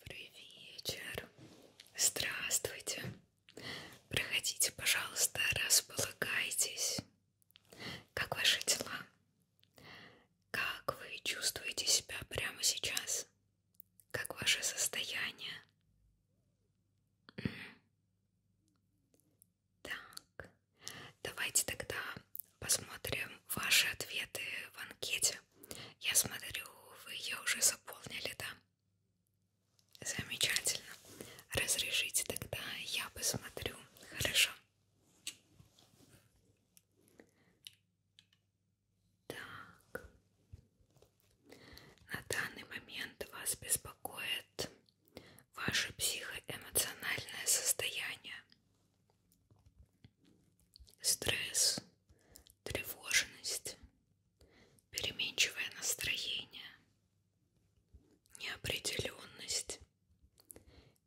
Добрый вечер. Здравствуйте. Проходите, пожалуйста, располагайтесь. Как ваши дела? Как вы чувствуете себя прямо сейчас? Как ваше состояние? Так, давайте тогда посмотрим ваши ответы в анкете вопросе. Я смотрю, вы ее уже заполнили, да? Замечательно. Разрешите тогда, я посмотрю. Хорошо. Так. На данный момент вас беспокоит ваше психоэмоциональное состояние стресс, тревожность, переменчивое настроение, неопределенность,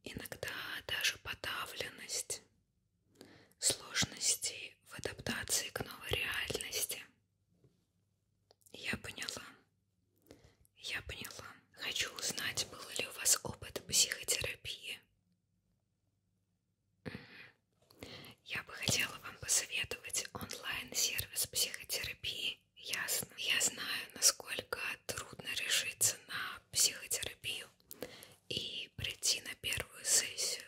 иногда даже подавленность, сложности в адаптации к новой реальности. Я поняла. Я поняла. Хочу узнать, был ли у вас опыт психотерапии. Я бы хотела вам посоветовать онлайн-сервис психотерапии. Ясно. Я знаю, насколько трудно решиться на психотерапию и прийти на первую сессию,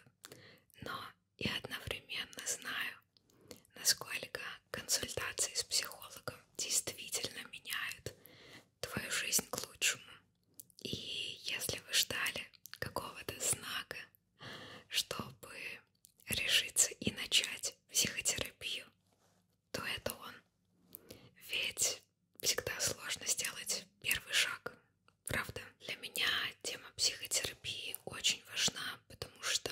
но я одновременно знаю, насколько консультации с психологом действительно меняют твою жизнь к лучшему. И если вы ждали какого-то знака, чтобы решиться и начать психотерапию, то это он. Ведь всегда сложно сделать первый шаг. Правда, для меня тема психотерапии очень важна, потому что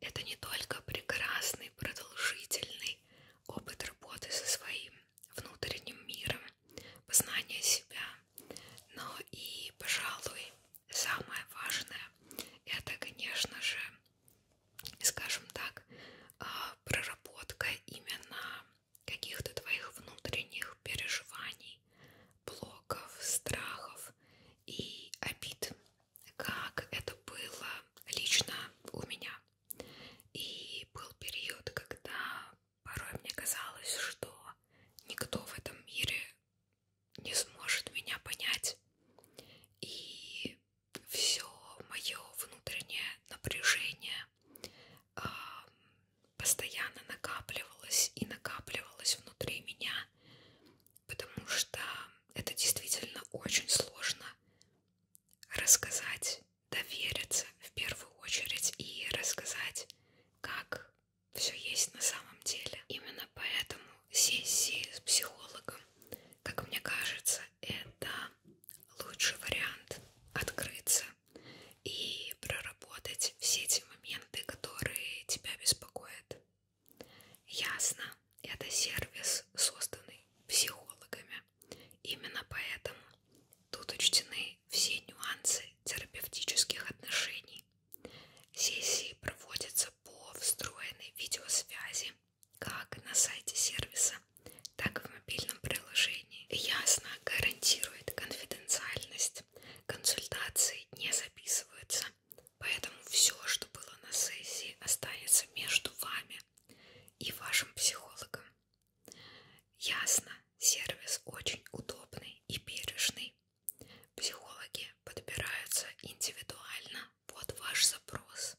это не только прекрасный, продолжительный опыт работы со своим внутренним миром, познание себя, но и, пожалуй, самое важное это, конечно же, скажем так, а, проработка именно каких-то твоих внутренних переживаний, блоков, страхов и обид, как это было лично у меня. И был период, когда Порой мне казалось, что никто в этом мире не сможет меня понять. И все мое внутреннее напряжение э, постоянно накапливалось и накапливалось внутри меня, потому что это действительно очень сложно рассказать, довериться в первую очередь и рассказать, как них все есть на самом деле. Именно поэтому сессии с психологом, как мне кажется, это лучший вариант открыться и проработать все эти моменты, которые тебя беспокоят. Ясно, это сервис, созданный психологами. Именно поэтому тут учтены собой все нюансы терапевтических отношений. Сессии проводятся по встроенной видеосвязи как на сайте сервиса, так и в мобильном приложении. Ясно гарантирует конфиденциальность. Консультации не записываются, поэтому все, что было на сессии, останется между вами и вашим психологом. Ясно Сервис очень удобный и бережный. Психологи подбираются индивидуально под ваш запрос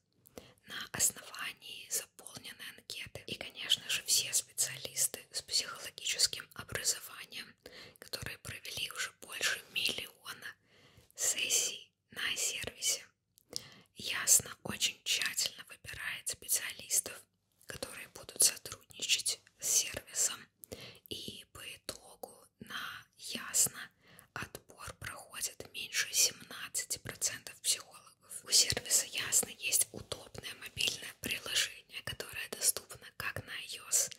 на основании заполненной анкеты. И, конечно же, все специалисты с психологическим образованием, которые провели уже больше миллиона сессий на сервисе, ясно очень тщательно выбирает специалистов которые будут сотрудничать с сервисом. И по итогу на ясно отбор проходит меньше 17% психологов. У сервиса ясно есть удобное мобильное приложение, которое доступно как на iOS,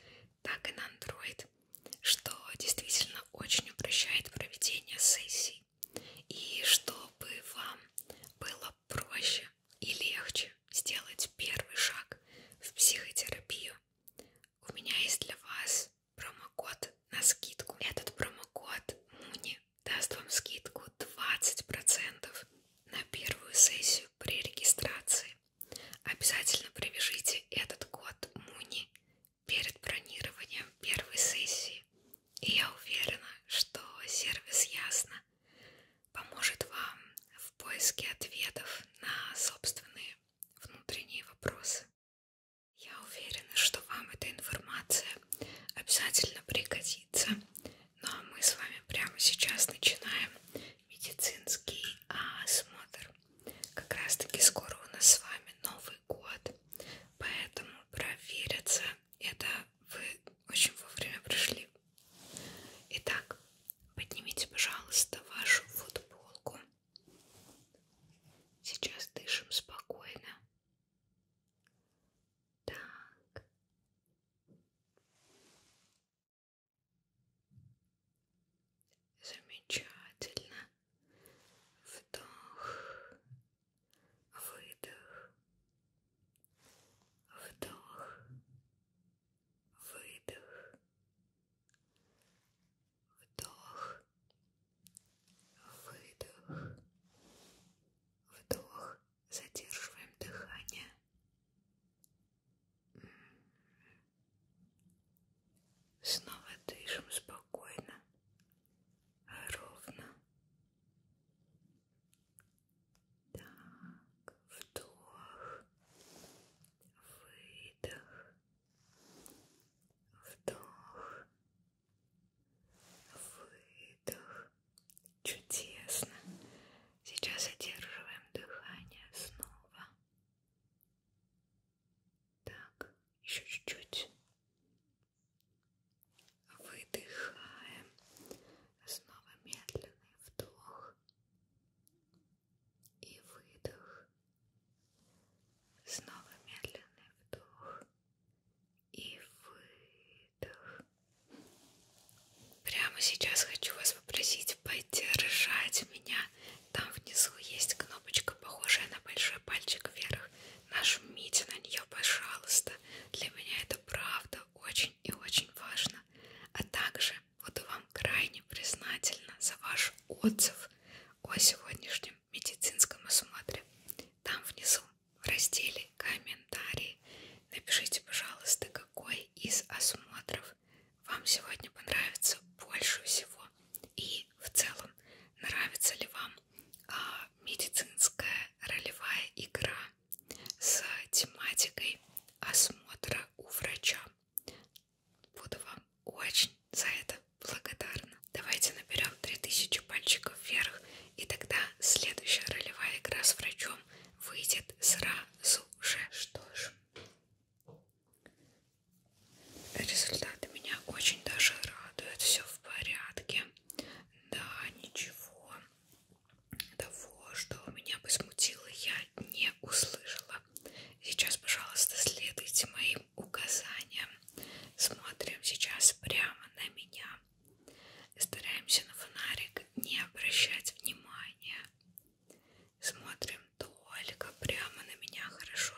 так и на Android, что действительно очень упрощает проведение сессий. И чтобы вам было проще проще и легче сделать первый шаг в психотерапию, у меня есть для вас промокод на скидку. Этот промокод Муни даст вам скидку 20% на первую сессию при регистрации. Обязательно привяжите этот код Муни перед бронированием первой сессии. И я уверена, что сервис Ясно поможет вам в поиске ответов на собственные внутренние вопросы. Я уверена, что вам эта информация обязательно пригодится. Ну а мы с вами прямо сейчас начинаем медицинский осмотр. Как раз таки скоро у нас с вами Новый год, поэтому провериться это вы очень вовремя пришли. Итак, поднимите, пожалуйста, вашу футболку. Сейчас дышим спокойно. Так. Замечательно. Вдох. Выдох. Вдох выдох, вдох, выдох, вдох, задерживаем дыхание. Снова дышим спокойно, ровно. Так, вдох, выдох, вдох, выдох. Чудесно. Сейчас задерживаем дыхание снова. Так, еще чуть-чуть. Выдыхаем. Снова медленный вдох и выдох. Снова медленный вдох и выдох. Прямо сейчас хочу вас попросить поддержать меня. Там внизу есть кнопочка, похожая на большой пальчик вверх. Нажмите на нее, пожалуйста. Для меня это правда очень и очень важно. А также Буду вам крайне признательна за ваш отзыв о сегодняшнем медицинском осмотре. Там внизу в разделе комментарии напишите, пожалуйста, какой из осмотров вам сегодня понравится больше всего и в целом нравится ли вам а, медицинская ролевая игра с тематикой осмотра у врача. Буду вам очень за это благодарна. Давайте наберем 3000 пальчиков вверх, и тогда следующая ролевая игра с врачом выйдет сразу же. Что ж, результаты меня очень даже радуют. Все в порядке. Да, ничего того, что меня бы смутило, я не услышала. Сейчас, пожалуйста, следуйте моим указаниям. Смотрим сейчас прямо на меня. Стараемся на фонарик не обращать внимания. Смотрим только прямо на меня, хорошо?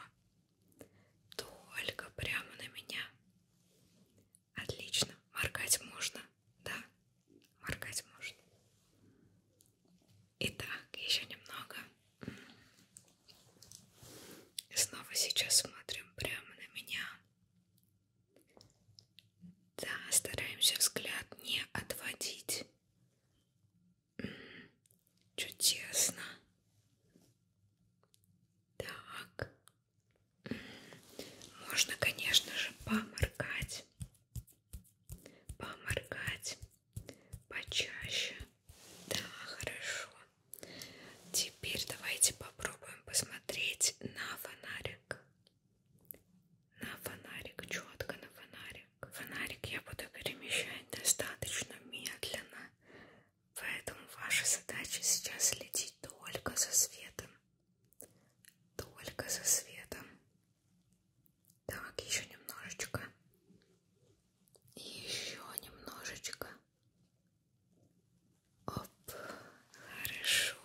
Только прямо на меня. Отлично. Моргать можно. Да, моргать может. Итак, еще немного. И снова сейчас смотрим прямо на меня. Да, стараемся взгляд не отводить. Чудесно. Так. Можно, конечно же, поморгать поморгать почаще. Да, хорошо. Теперь давайте попробуем посмотреть на фонарик. На фонарик, четко на фонарик. Фонарик я буду перемещать достаточно медленно, поэтому ваша задача сейчас следить только за светом. Только за светом. Так, еще немножечко. Еще немножечко. Оп, хорошо.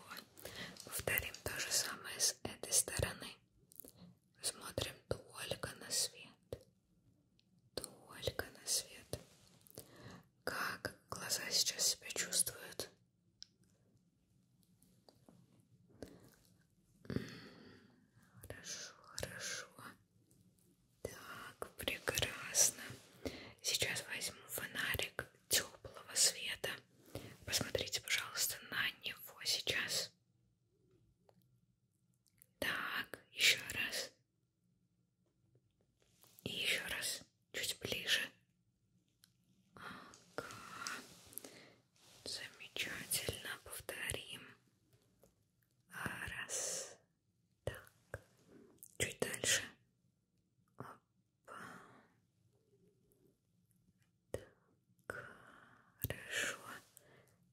Повторим то же самое с этой стороны. Смотрим только на свет. Только на свет. Как глаза сейчас себя чувствуют? Хорошо, хорошо. Так, прекрасно. Сейчас возьму фонарик теплого света. Посмотрите, пожалуйста, на него сейчас. Так, еще раз. И еще раз, чуть ближе. Ага. Замечательно. Повторим. А, раз. Так. Чуть дальше. Опа. Так. Хорошо.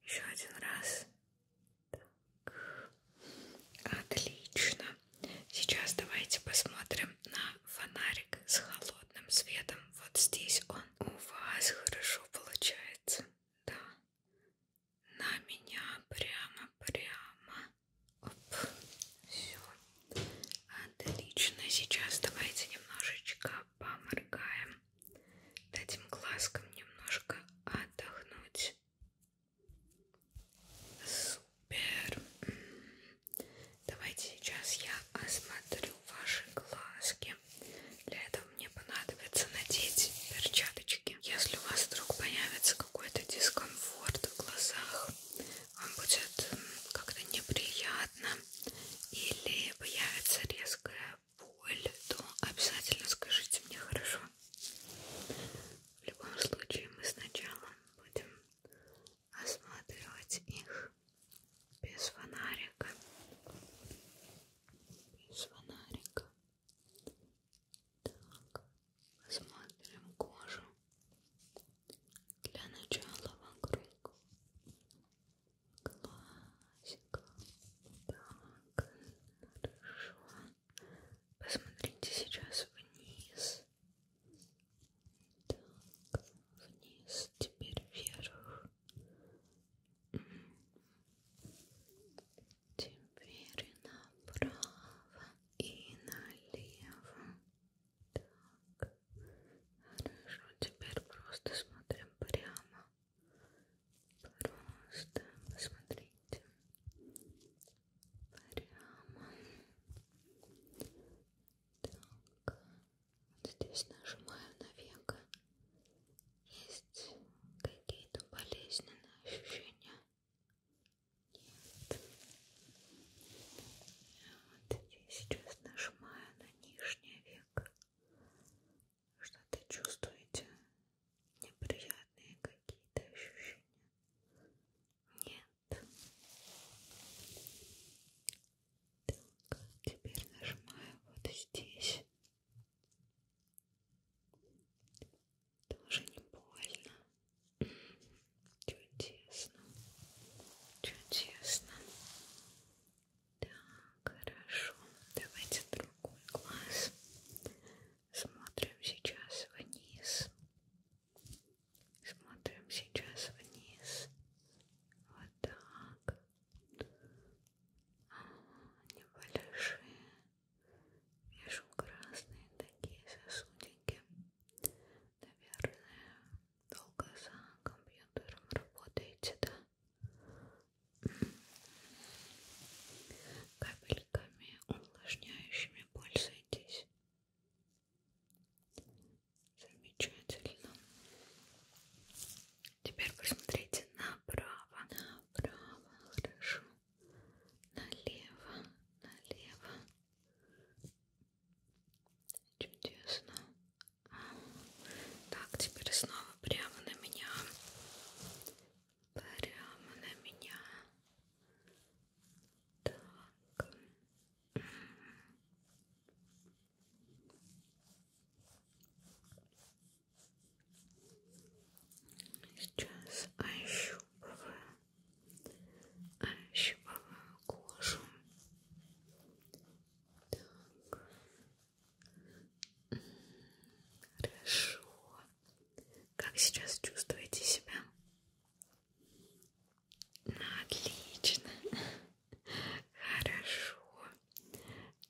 Еще один раз. Так. Отлично. Сейчас давайте посмотрим на фонарик с холодом холодным светом. Вот здесь он у вас хорошо получается. Да. На меня прямо, прямо. Оп. Все. Отлично. Сейчас давайте немножечко поморгаем. Дадим глазкам немножко отдохнуть. Супер. Давайте сейчас я осмотрю ваши глазки. Для этого мне понадобится надеть перчаточки. Если у вас вдруг появится какой-то дискомфорт в глазах, вам будет как-то неприятно или появится резкая боль, то обязательно скажите мне хорошо. В любом случае мы сначала будем осматривать их без фонарика без фонарика так посмотрим кожу для начала вокруг классика так хорошо посмотрите сейчас вниз так вниз теперь вверх Теперь направо и налево. Так. Хорошо, теперь просто смотрим прямо. Просто посмотрите. Прямо. Так. Здесь нажимаю на века. Есть какие-то болезненные ощущения? Нет. Вот я сейчас нажимаю на нижнее веко. Что-то чувствуете? Неприятные какие-то ощущения? Нет. Так, теперь нажимаю вот здесь. Тоже не больно. Чудесно. Чудесно. Так, хорошо. Давайте другой глаз. Смотрим сейчас вниз. Смотрим сейчас вниз. Вот так небольшие, вижу красные такие сосудики, наверное, долго за компьютером работаете, да? Капельками увлажняющими пользуйтесь. Замечательно. Теперь посмотрите направо, направо, хорошо, налево, налево. Чудесно. Так, теперь снова прямо на меня. Прямо на меня. Так. Сейчас ощупываю, ощупываю кожу. Так. Хорошо. Как сейчас чувствуете себя? Отлично. Хорошо.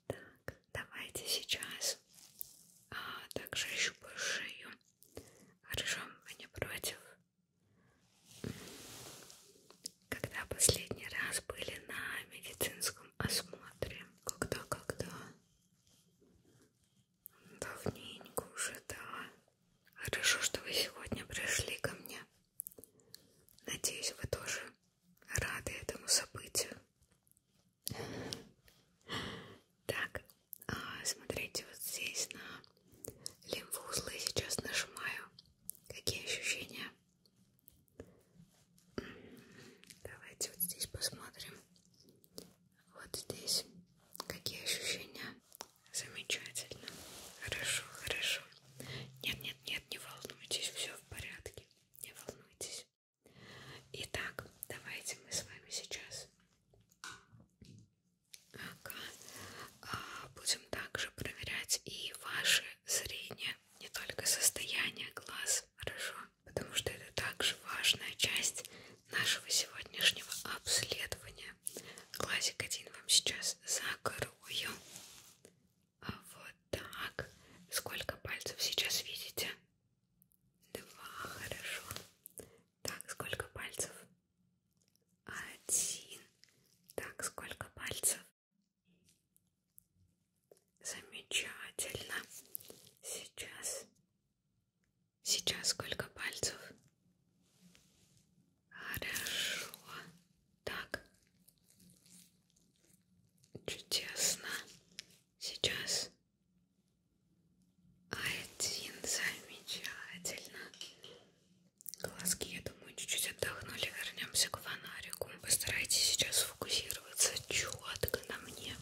Так, давайте сейчас а, также ощупаю шею. Хорошо, вы не против? Когда последний раз были на медицинском осмотре? Когда, когда? Давненько уже, да. Хорошо, что вы сегодня пришли ко мне. Надеюсь, вы тоже рады этому событию. Так, а, смотрите вот здесь на лимфоузлы. Сейчас нажимаю. Какие ощущения? Давайте вот здесь посмотрим. Вот здесь. Какие ощущения? Замечательно. Хорошо, хорошо. Нет, нет, нет, не волнуйтесь, все в порядке не волнуйтесь. Итак, давайте мы с вами сейчас а, будем также проверять и ваше зрение, не только состояние глаз, хорошо? Потому что это также важная часть нашего сегодняшнего обследования. Глазик один вам сейчас закрою. А вот так. Сколько пальцев сейчас видите? Два, хорошо. Так, сколько пальцев? Один. Так, сколько пальцев? Замечательно. Сейчас. Сейчас сколько пальцев? Хорошо. Так. Чудесно. Сейчас. Один замечательно. Глазки, я думаю, чуть-чуть отдохнули. Вернемся к фонарику. Постарайтесь сейчас фокусироваться четко на мне.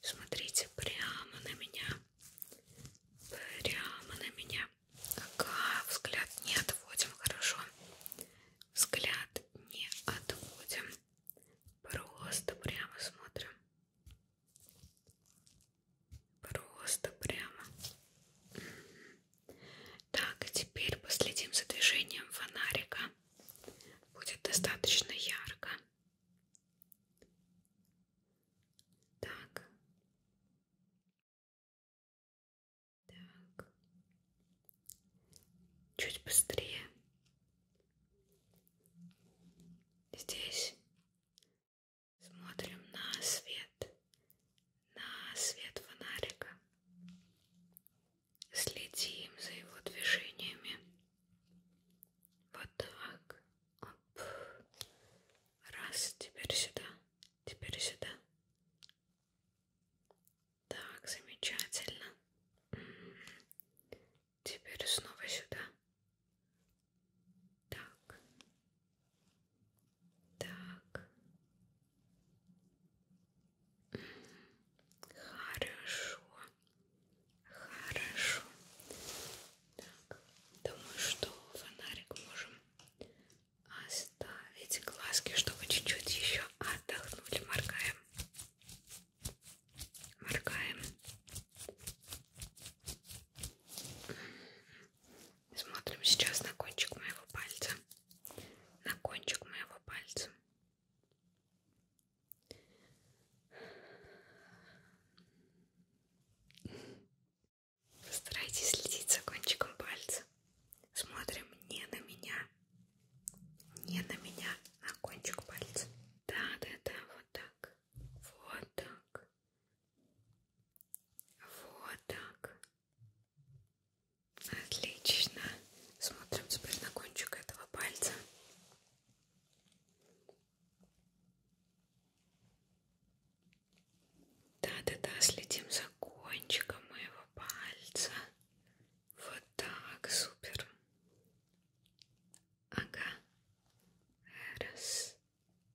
Смотрите прямо на меня. Прямо на меня. Ага, взгляд не отводим, хорошо. Взгляд не отходим, просто прямо смотрим, просто прямо. Так, теперь последим за движением фонарика, будет достаточно ярко. Так. Так. Чуть быстрее. Здесь смотрим на свет, на свет фонарика. Следим за его движениями. Вот так. Оп. Раз, теперь сюда, теперь сюда. Так, замечательно. Теперь снова сюда. Так. Так. Хорошо. Хорошо. Так, думаю, что фонарик можем оставить. А эти глазки, чтобы чуть-чуть еще отдохнули. Моргаем. Моргаем. Смотрим сейчас на кончик моего пальца. На кончик моего пальца. Постарайтесь следить за кончиком пальца. Смотрим не на меня, не на меня, на кончик пальца. Да, да, да, вот так, вот так, вот так. Отлично. Смотрим теперь на кончик этого пальца. Да, да, да, следим за кончиком моего пальца. Вот так, супер. Ага. Раз.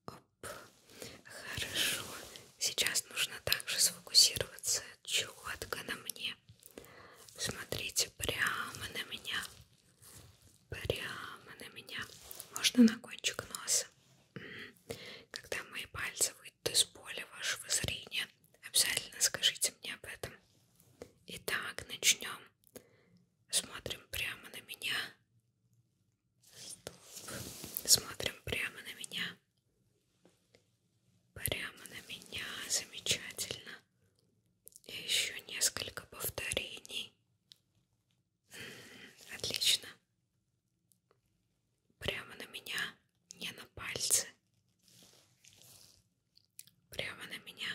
Оп. Хорошо. Сейчас нужно также сфокусироваться четко на мне. Смотрите прямо на меня. Прямо на меня. Можно на кончик носа. Когда мои пальцы будет из поля вашего зрения. Обязательно скажите мне об этом. Итак, начнем. Смотрим прямо на меня. Стоп. Смотрим прямо на меня. Прямо на меня. Замечательно. И еще несколько повторений. Отлично прямо на меня, не на пальцы, прямо на меня.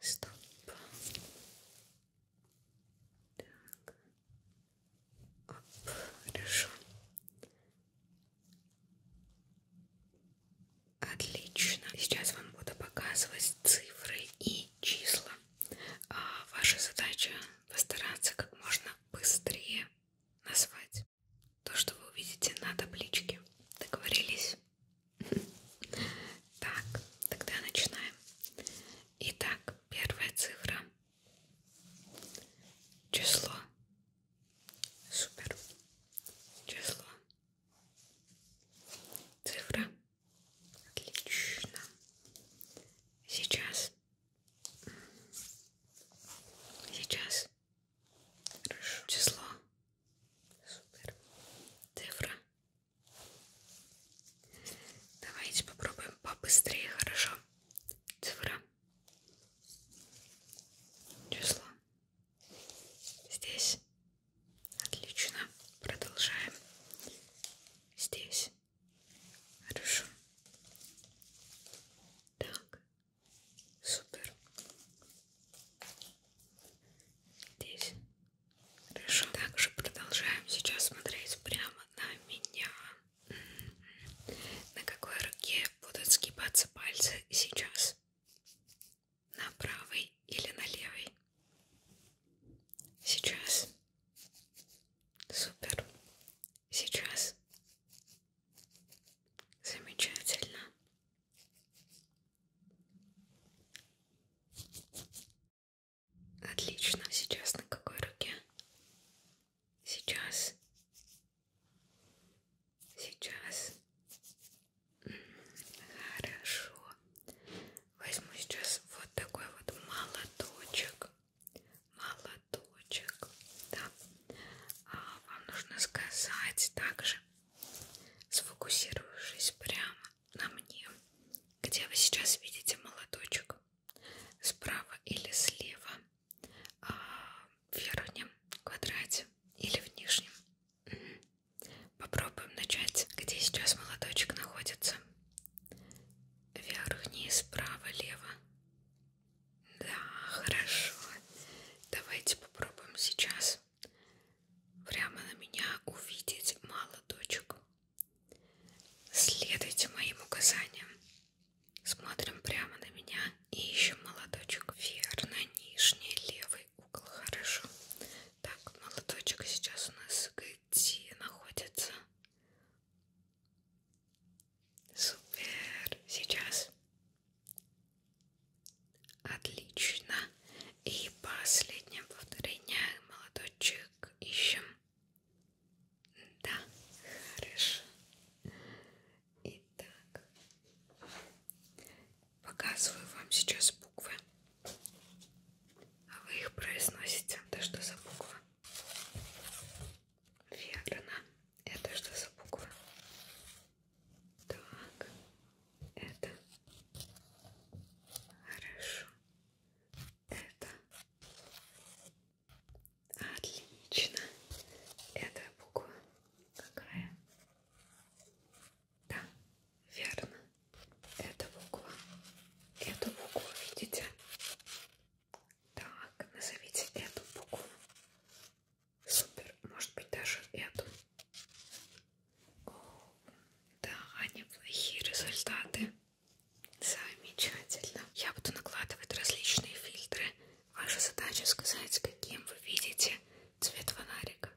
Стоп. Так. Оп, хорошо. Отлично. Сейчас вам буду показывать цифры и числа. А ваша задача постараться как можно быстрее назвать то, что вы увидите на табличке. Договорились? Так, тогда начинаем. Итак, первая цифра. Число. Супер. Число. Цифра. Отлично. Сейчас. Сейчас Хорошо. Число. Супер. Цифра. Давайте попробуем побыстрее, хорошо? Цифра. Число. Здесь. Отлично. Продолжаем. Здесь. Хорошо. Так. Супер. Здесь. Хорошо, также продолжаем сейчас смотреть прямо на меня. На какой руке будут сгибаться пальцы сейчас? На правой или на левой? Сейчас. Супер. Сейчас. Замечательно. Отлично. Сейчас на какой руке? Сейчас. Сейчас. Хорошо. Возьму сейчас вот такой вот молоточек. Молоточек платочек. Да. А вам нужно сказать также, сфокусировавшись прямо на мне, где вы сейчас видите молоточек, справа или слева, а в верхнем квадрате или в нижнем. Попробуем начать, где сейчас молоточек находится. Вверх, вниз, справа, лево. Да, хорошо. Давайте попробуем сейчас прямо на меня увидеть мало точек. Следуйте моим указаниям. Смотрим прямо на меня и ищем молоточек. Верно, нижний левый угол. Хорошо. Так, молоточек сейчас у нас где находится? Супер. Сейчас. Отлично. И последнее повторение, молодочек, ищем. Да, хорошо. Итак, показываю вам сейчас буквы. А вы их произносите. Это что за буква? Верно. Это что за буква? Так, это хорошо. Это отлично. Это буква какая? Да, верно. Это буква. Эту букву видите? Так, назовите эту букву. Супер, может быть даже эту. О, да, неплохие результаты. Замечательно. Я буду накладывать различные фильтры. Ваша задача сказать, каким вы видите цвет фонарика.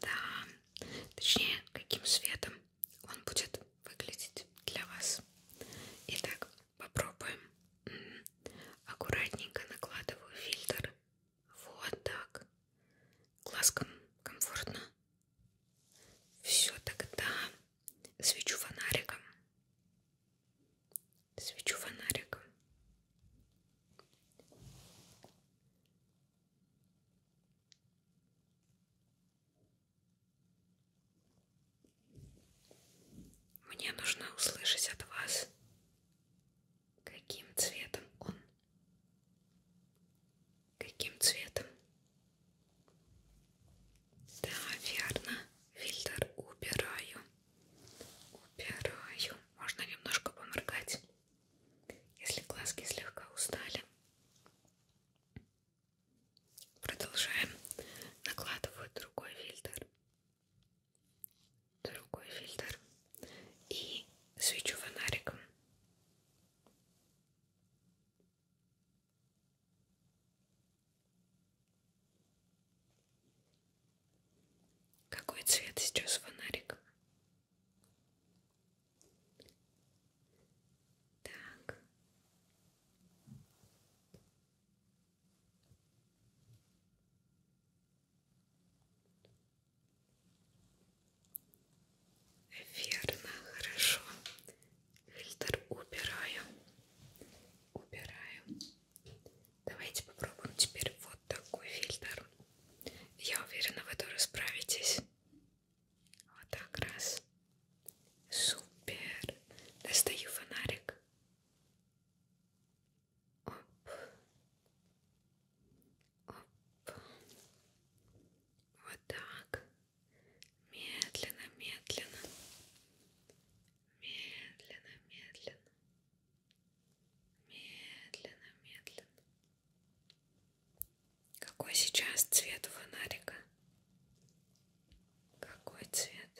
Да, точнее, каким светом он будет выглядеть для вас. Итак, попробуем аккуратненько накладываю фильтр. Вот так. Глазком комфортно. Все, тогда свечу фонариком. Свечу фонариком. Мне нужно услышать от вас Каким цветом он? Каким цветом? Да, верно. Фильтр убираю. Убираю. Можно немножко поморгать, если глазки слегка устали. Продолжаем. Накладываю другой фильтр другой фильтр и свечу фонариком. Какой цвет сейчас фонарик? Так. Верно, хорошо. Фильтр убираю. Убираю. Давайте попробуем теперь вот такой фильтр. Я уверена, вы тоже справитесь. Вот так раз. Супер. Достаю фонарик. Оп. Оп. Вот так. Медленно, медленно. Медленно, медленно. Медленно, медленно. Какой сейчас цвет у фонарика? Какой цвет?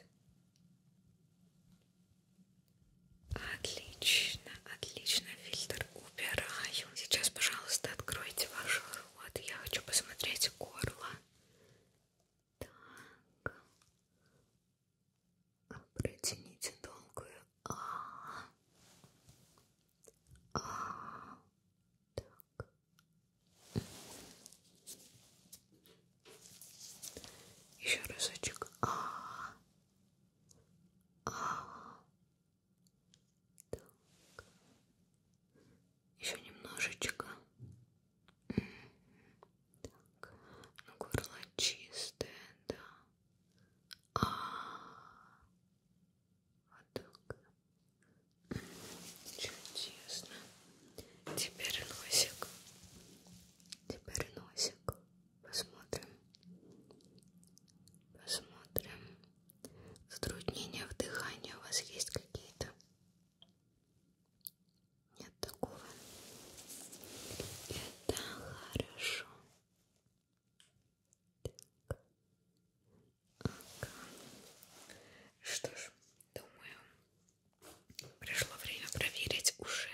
Отлично, отлично, фильтр убираю. Сейчас, пожалуйста, откройте ваш рот. Я хочу посмотреть горло. Так. Протяните долгую. А, -а, -а. а, -а, -а. Так. Еще разочек. А, -а, -а. а, -а. Так. Еще немножечко. Так. Ну, горло чистое, да. А, -а, -а. вот так. Чудесно. Теперь носик. Теперь носик. Посмотрим. Посмотрим. Затруднения в дыхании у вас есть какие-то? Нет такого. Это хорошо. Так. Ага. Что ж, думаю, пришло время проверить уже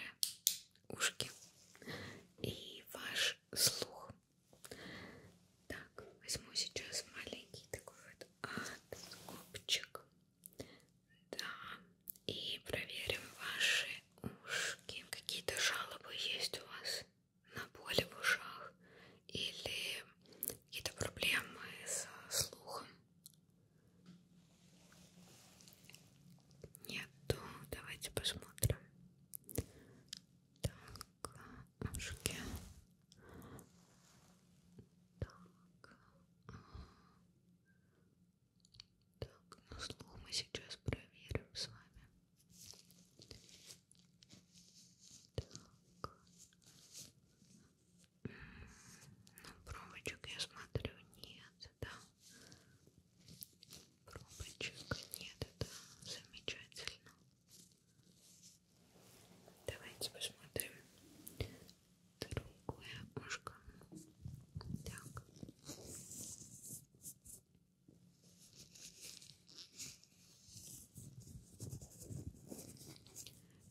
ушки и ваш слух. Так, возьму сейчас маленький такой вот откопчик. Да, и проверим ваши ушки. Какие-то жалобы есть у вас на боли в ушах или какие-то проблемы со слухом? Нету. Давайте посмотрим. Так, ушки. Так. А, так, ну слух мы сейчас проверим с вами. Так. Ну, пробочек я смотрю, нет сюда пробочек нет, это замечательно давайте посмотрим другое ушко так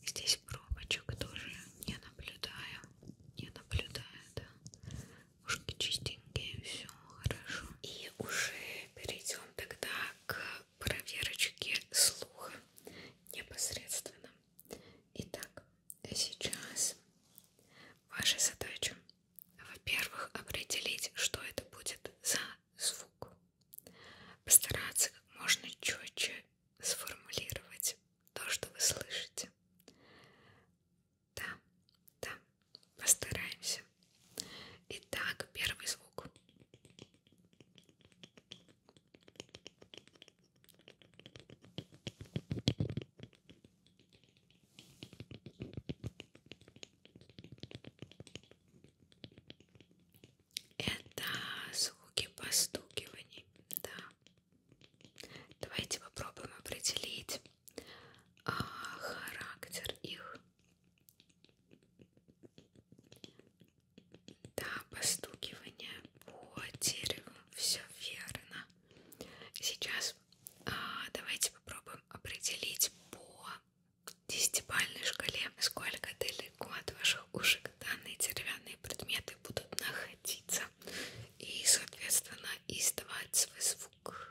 Здесь пробочек тоже не наблюдаю, не наблюдаю, да ушки чистенькие, все хорошо. И уже перейдем тогда к проверочке слуха непосредственно. Итак, сейчас ваша задача, во-первых, определить, что это будет за звук. Постараться как можно четче сформулировать то, что вы слышите. Да, да, постараемся. Итак, первый звук. Это звуки постукиваний, да. Давайте попробуем определить а, характер их. Да, постукивание по дереву, все верно. Сейчас а, давайте попробуем определить по десятибальной шкале, насколько далеко от ваших ушек данные деревянные предметы будут находиться и, соответственно, издавать свой звук.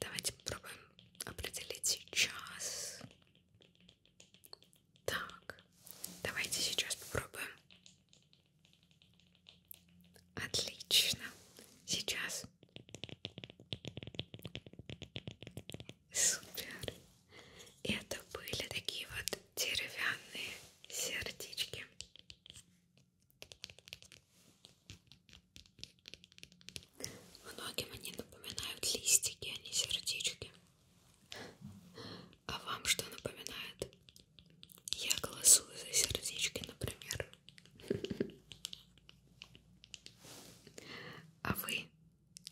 Давайте попробуем определить час. Так, давайте сейчас попробуем. Отлично. Сейчас. Супер. Это были такие вот деревянные сердечки. Многим они напоминают листики, а не сердечки. А вам что напоминает? Я голосую за сердечки, например. А вы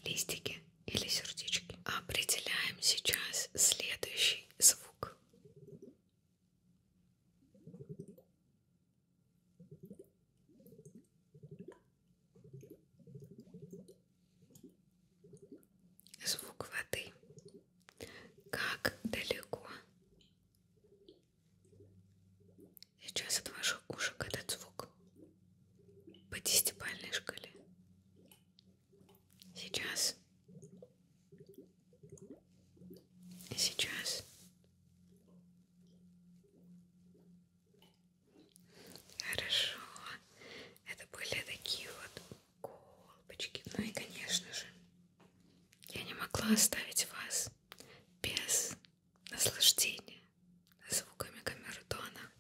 листики или сердечки? Определяем сейчас следующий звук. Звук воды. Как далеко. Сейчас от ваших ушек этот звук по десятибальной шкале. Сейчас Сейчас хорошо. Это были такие вот колбочки. Ну и конечно же, я не могла оставить вас без наслаждения звуками камертона.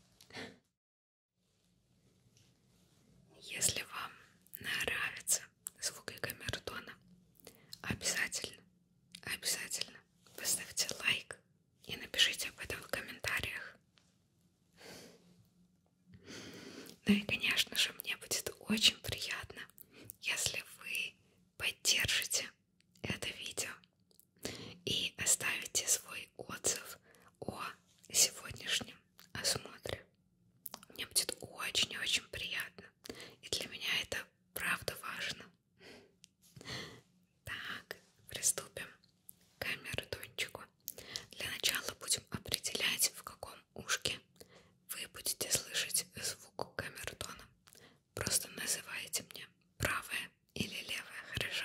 Если вам нравится звука камертона. Обязательно, обязательно поставьте лайк и напишите об этом в комментариях. Ну и, конечно же, мне будет очень приятно, если вы поддержите это видео и оставите свой отзыв о сегодняшнем осмотре мне будет очень-очень приятно. И для меня это правда важно. Так, приступим к камертончику. Для начала будем определять, в каком ушке вы будете слышать звук камертона. Просто называйте мне правое или левое, хорошо?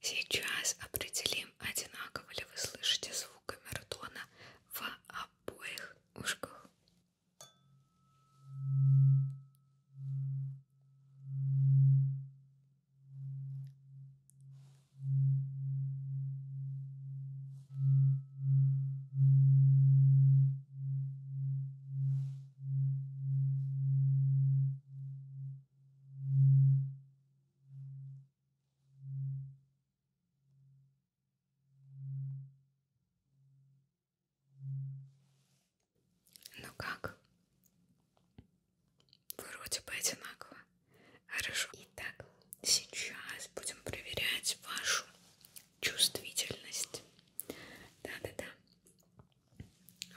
Сейчас определим, одинаково ли вы слышите звук камертона в обоих ушках. Ну как? Вроде бы одинаково. Хорошо. Итак, сейчас будем проверять вашу чувствительность. Да-да-да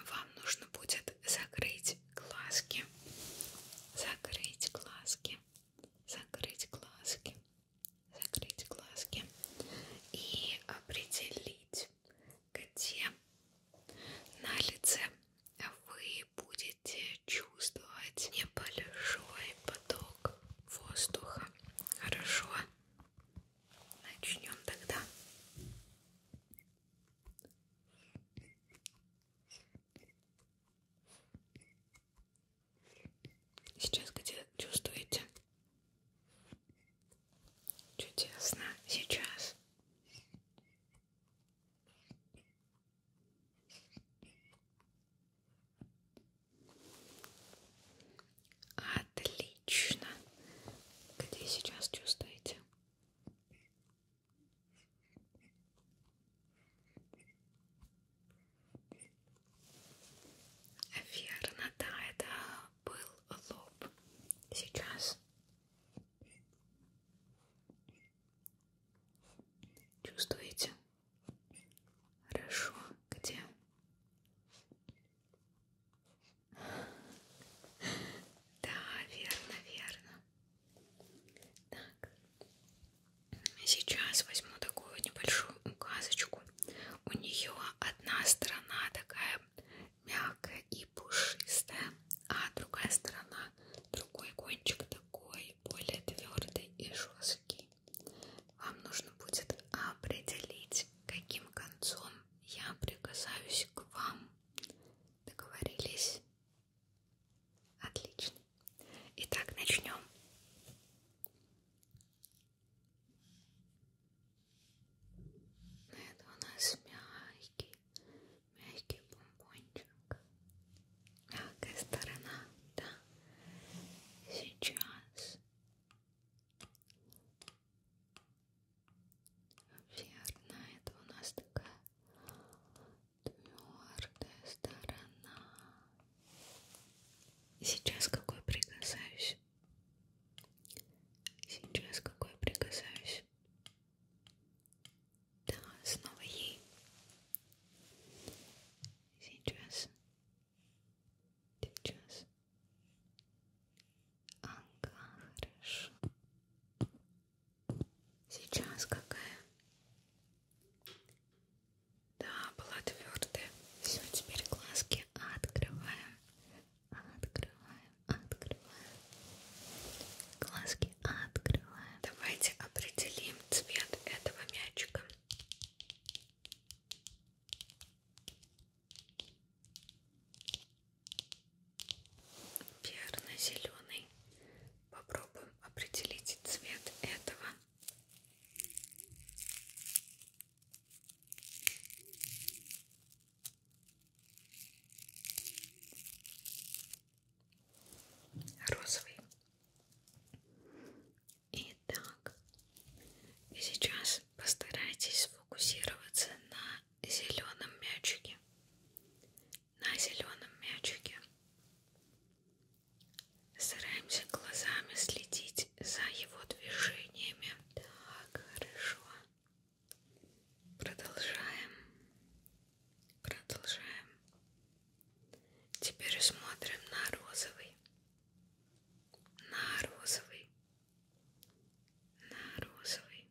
вам нужно будет закрыть глазки, закрыть глазки, закрыть глазки, закрыть глазки и определить, где на лице вы будете чувствовать небольшой поток воздуха. Хорошо? Начнем тогда. Сейчас где чувствуете? Чудесно. Сейчас. Отлично. Где сейчас чувствуете? Верно, да, это был лоб. Сейчас чувствуете? Хорошо, где? Да, верно, верно. Так, сейчас возьму такую небольшую указочку. У нее одна сторона такая мягкая и пушистая, а другая сторона, другой кончик такой более твердый и жесткий. Вам нужно будет определить, каким концом я прикасаюсь к вам. Договорились? Отлично. Итак, начнем. Это у нас мягкий, мягкий бомбончик. Мягкая сторона, да. Сейчас Верно, это у нас такая твердая сторона. И сейчас какой прикасаюсь? Сейчас какой прикасаюсь? Да, снова ей. Сейчас. Сейчас. Ага, хорошо. Сейчас какая? Да, была твердая. Все, теперь глазки открываем. Открываем, открываем. Глазки открываем. Давайте определим цвет этого мячика. Перно-зеленый. Попробуем определить цвет этого. Розовый. Итак, сейчас постарайтесь сфокусироваться на зеленом мячике, на зеленом мячике. Стараемся глазами следить за его движениями. Так, хорошо. Продолжаем. Продолжаем. Теперь смотрим на розовый. На розовый на розовый.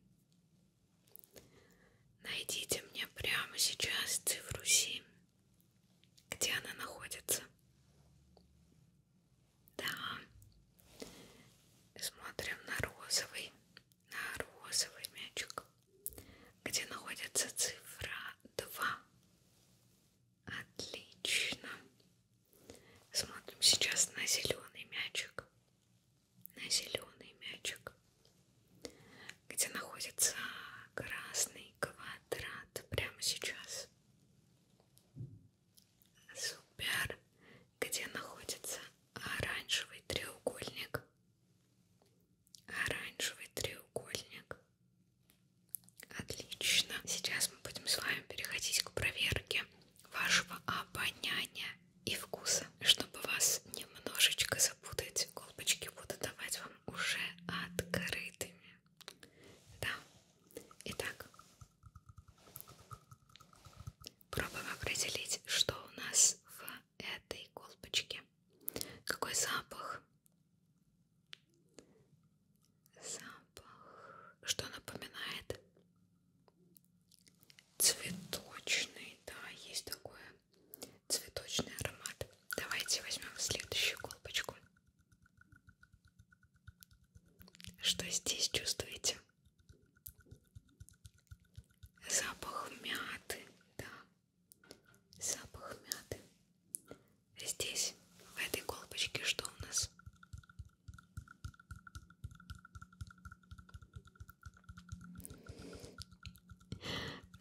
Найдите мне прямо сейчас цифру 7. Где она находится? Да. Смотрим на розовый, на розовый мячик. Где находится цифра 2? Отлично. Смотрим сейчас на зеленый мячик на зеленый мячик, где находится красный квадрат прямо сейчас. Супер, где находится оранжевый треугольник. Оранжевый треугольник. Отлично. Сейчас мы будем с вами переходить к проверке вашего обоняния и вкуса. Чтобы вас немножечко запутать, колбочки буду давать вам уже открытыми. Да. Итак, пробуем определить, что у нас в этой колбочке. Какой запах? Запах. Что напоминает? цветочный, да, есть такое цветочный аромат. Давайте возьмем следующую колбочку. Что здесь чувствуете? Запах мяты, да, запах мяты. Здесь в этой колбочке что у нас?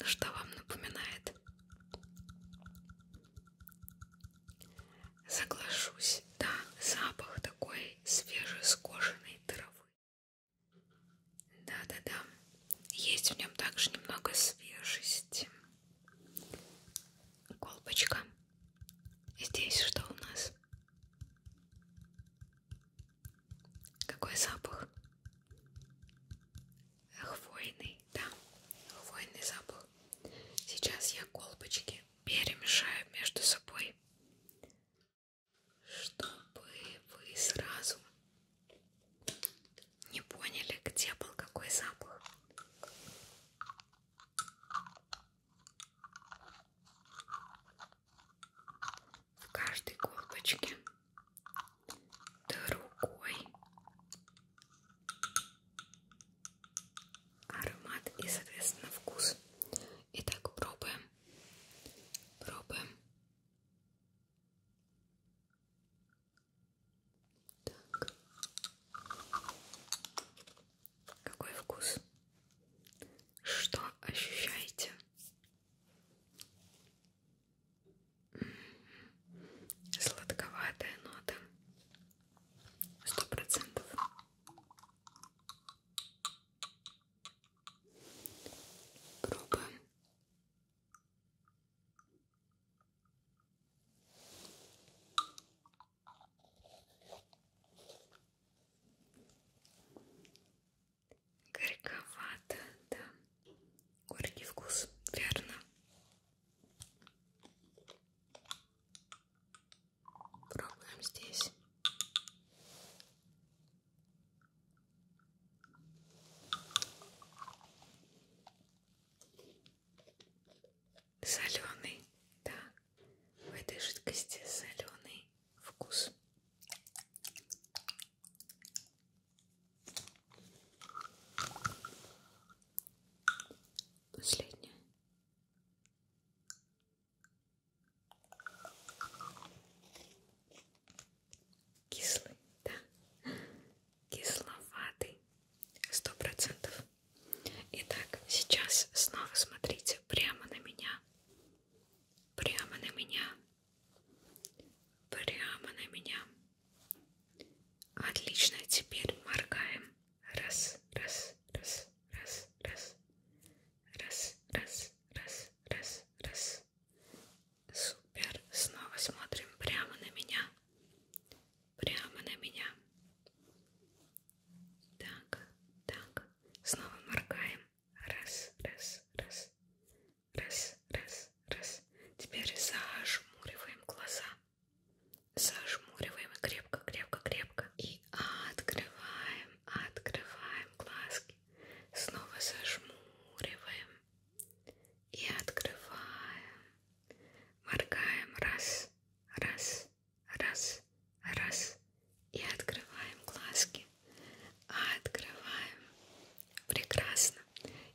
Ну что вам напоминает? Соглашусь, да, запах такой свежескошенной травы. Да-да-да, есть в нем также немного свежести. Колбочка. Здесь что у нас? Какой запах? Хвойный, да, хвойный запах. Сейчас я колбочки перемешаю между собой, чтобы вы сразу не поняли, где был какой запах в каждой колбочке другой аромат и соответственно вкус итак пробуем пробуем так какой вкус что ощущаете? Сладковатая нота. Сто процентов. Пробуем горьковато, да. Горький вкус, верно. Пробуем здесь. Соленый, да. В этой жидкости соленый вкус. Последняя. Кислый, да. Кисловатый. Сто процентов. Итак, сейчас снова смотрите прямо на меня прямо на меня, прямо на меня. Отлично, теперь моргаем. Раз, раз, раз, раз, раз, раз, раз, раз, раз, раз. Супер. Снова смотрим прямо на меня, прямо на меня. Так, так. Снова моргаем. Раз, раз, раз. Раз, раз, раз. Теперь зажмуриваем глаза. Зажмуриваем крепко, крепко, крепко. И открываем, открываем глазки. Снова зажмуриваем. И открываем. Моргаем. Раз, раз, раз, раз, и открываем глазки. А, открываем. Прекрасно.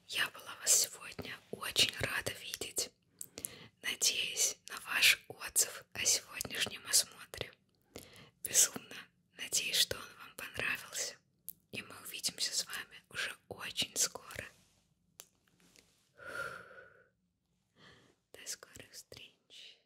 Я была вас сегодня очень рада видеть. Надеюсь на ваш отзыв о сегодняшнем осмотре. Безумно надеюсь, что он вам понравился. И мы увидимся с вами уже очень скоро. До скорых встреч!